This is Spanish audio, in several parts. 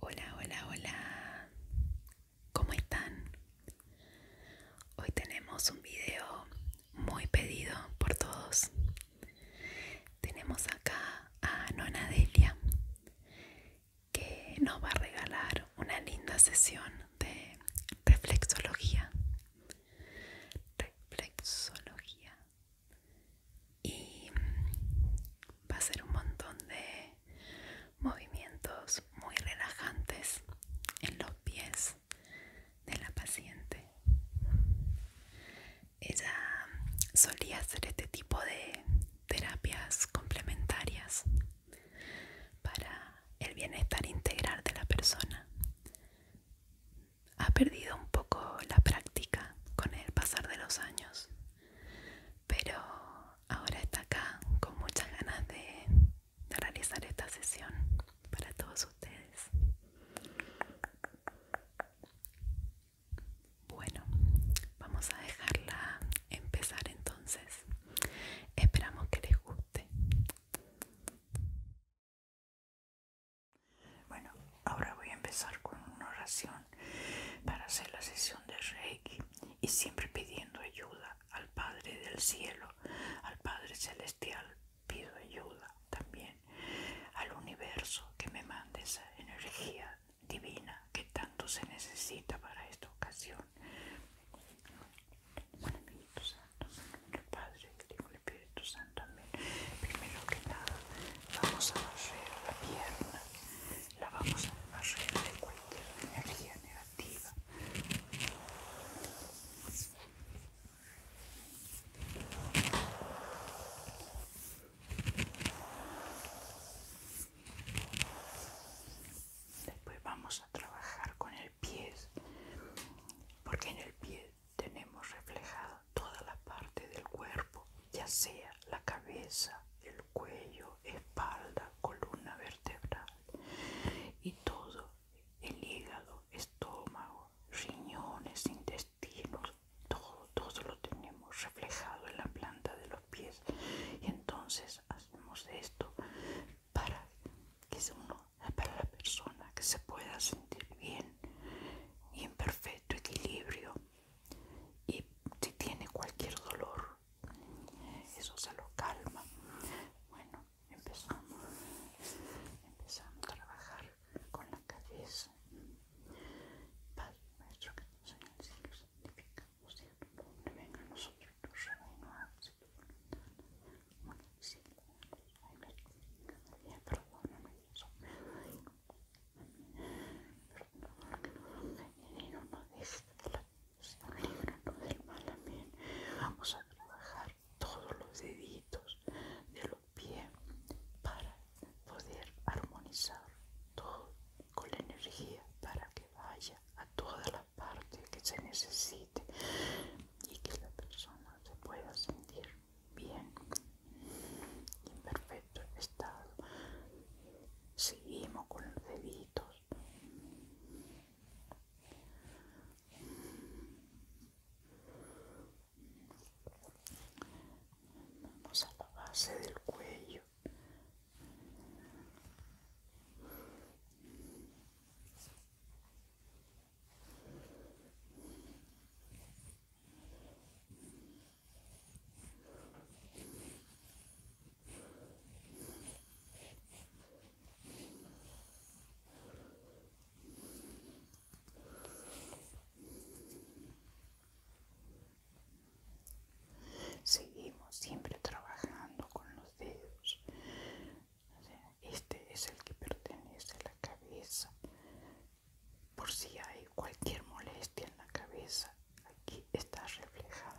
Hola, hola, hola. ¿Cómo están? Hoy tenemos un video muy pedido por todos. Tenemos acá a Nona Delia que nos va a regalar una linda sesión de reflexología. Reflexología y mm, va a ser un montón de movimientos muy relajantes en los pies de la paciente. Ella solía hacer este tipo de terapias complementarias para el bienestar integral de la persona. Ha perdido un poco la práctica con el pasar de los años, pero ahora está acá con muchas ganas de, realizar esta sesión para todos ustedes. Bueno, vamos a dejarla empezar entonces. Esperamos que les guste. Bueno, ahora voy a empezar con una oración para hacer la sesión de rey y siempre pidiendo ayuda al Padre del Cielo, al Padre Celestial pido ayuda también, al universo que me mande esa energía divina que tanto se necesita para esta ocasión. Bueno, Espíritu Santo, el Padre, el Hijo, el Espíritu Santo, amén. Primero que nada, vamos a barrer la pierna la vamos a barrer de cualquier energía negativa. Después vamos a trabajar con el pie, porque en el pie tenemos reflejada toda la parte del cuerpo, ya sea la cabeza, el cuello, espalda, columna vertebral y todo, el hígado, estómago, riñones, intestinos, todo, todo lo tenemos reflejado en la planta de los pies y entonces hacemos esto para que uno, para la persona que se pueda sentir bien y en perfecto equilibrio y si tiene cualquier dolor eso se lo calma. Bueno, empezamos, empezamos a trabajar con la cabeza. Padre nuestro que nos en el cielo, santificamos, sea tu venga a nosotros tu reino, hágase tu perdóname, perdóname, y no nos dejes de la del mal, Vamos a trabajar todos los deditos de los pies para poder armonizar todo con la energía para que vaya a todas las partes que se necesite y que la persona se pueda sentir bien en perfecto estado seguimos con los deditos Vamos a la base del cuello. Seguimos siempre trabajando con los dedos. Este es el que pertenece a la cabeza. Por si hay cualquier molestia en la cabeza, aquí está reflejada.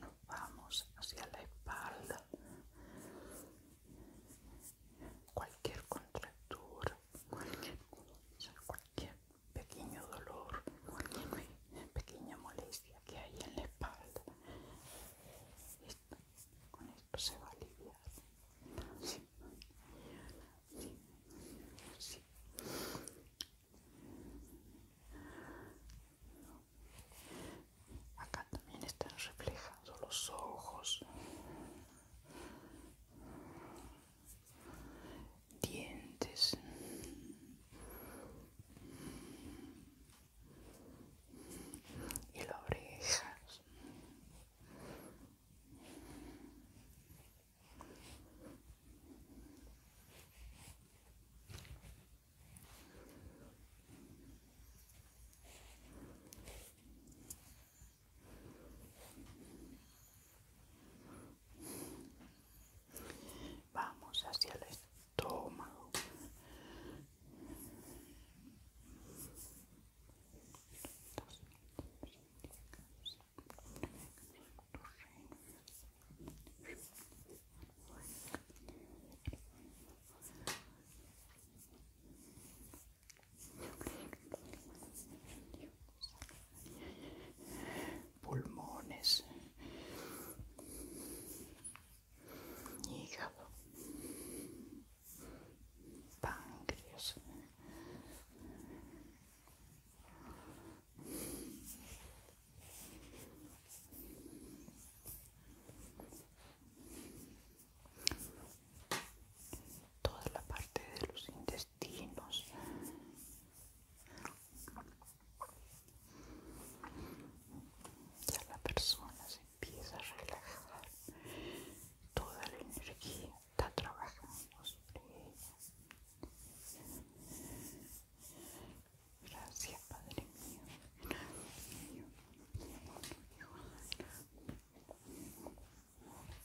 nos vamos hacia la espalda cualquier contractura cualquier, pequeño dolor, cualquier pequeña molestia que hay en la espalda, con esto se va a aliviar. Acá también están reflejando los ojos dientes y las orejas Vamos hacia el estómago pulmones, hígado, páncreas. Toda la parte de los intestinos. Ya la persona se empieza a relajar, toda la energía está trabajando sobre ella. Gracias, Padre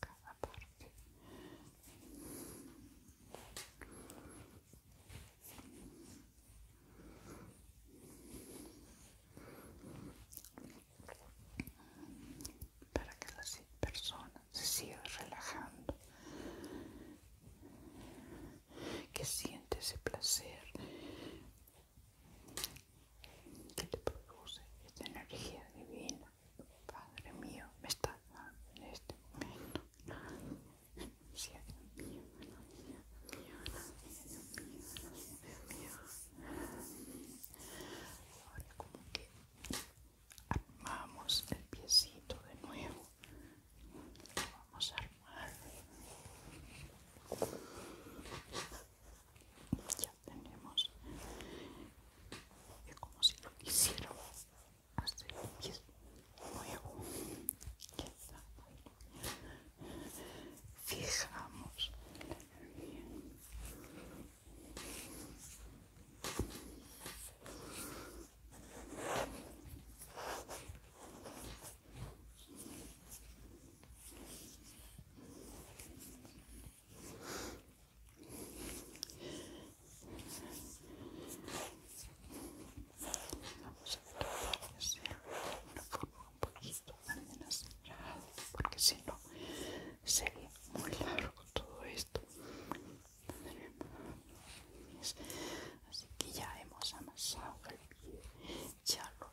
cada parte para que las personas se siga relajando que siente ese placer que te produce esta energía divina, Padre mío, me estás dando en este momento. Sí, Dios mío, Dios mío, mío, Ahora como que armamos el piecito de nuevo. Lo vamos a armar ya tenemos es como si lo quisiéramos hacer que es nuevo fijamos Bien. Vamos a tratar de hacer una forma un poquito más porque si no sería muy largo todo esto. Así que ya hemos amasado el pie, ya lo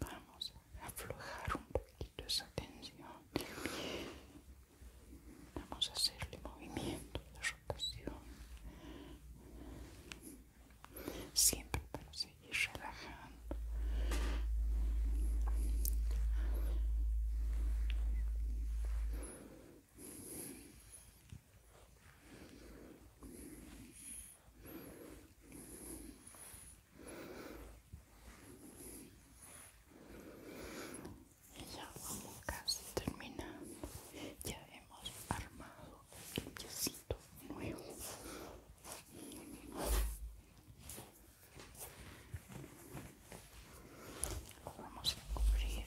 Vamos a aflojar un poquito esa tensión Vamos a hacerle movimiento de rotación. Siempre para seguir relajando ya vamos casi terminando. Ya hemos armado el piecito nuevo. Lo vamos a cubrir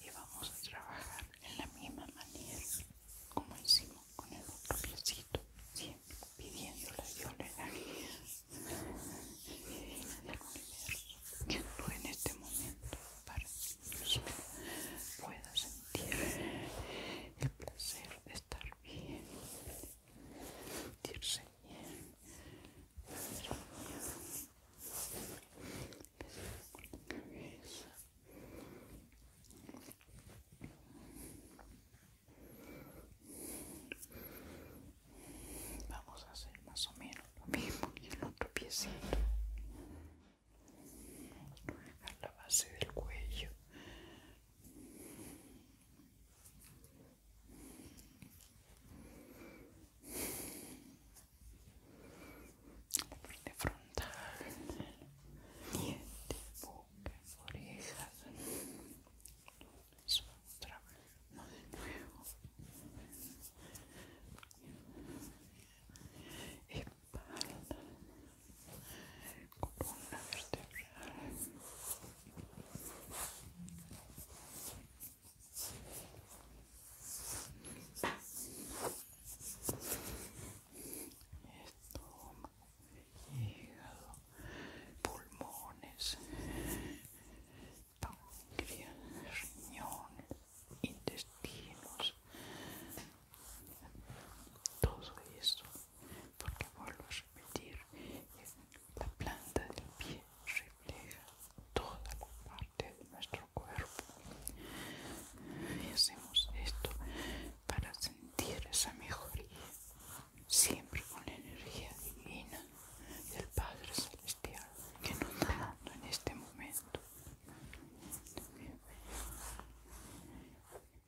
y vamos a trabajar en la misma manera como hicimos con el otro piecito siempre pidiendo la violencia divina del universo que en este momento para que yo pueda sentir el placer de estar bien Vamos a hacer más o menos lo mismo en el otro piecito. a la base del cuello frente frontal, diente, boca, orejas. otra vez, no de nuevo. Espalda, columna vertebral, estómago, hígado, pulmones, tangria, riñones, intestinos, todo eso porque vuelvo a repetir, la planta del pie refleja toda la parte de nuestro cuerpo y hacemos esto para sentir esa mejoría siempre con la energía divina del Padre Celestial que nos está dando en este momento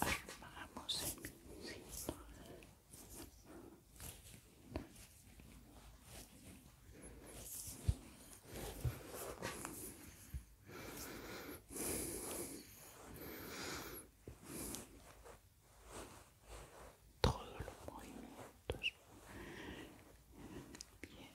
Vamos en todos los movimientos bien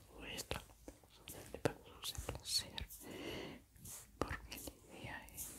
Todo esto para su placer, porque la idea es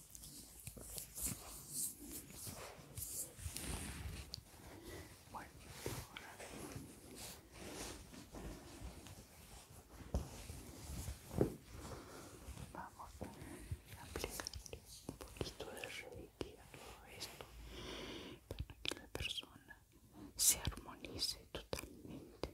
Bueno, Vamos a aplicar un poquito de reiki a todo esto para que la persona se armonice totalmente.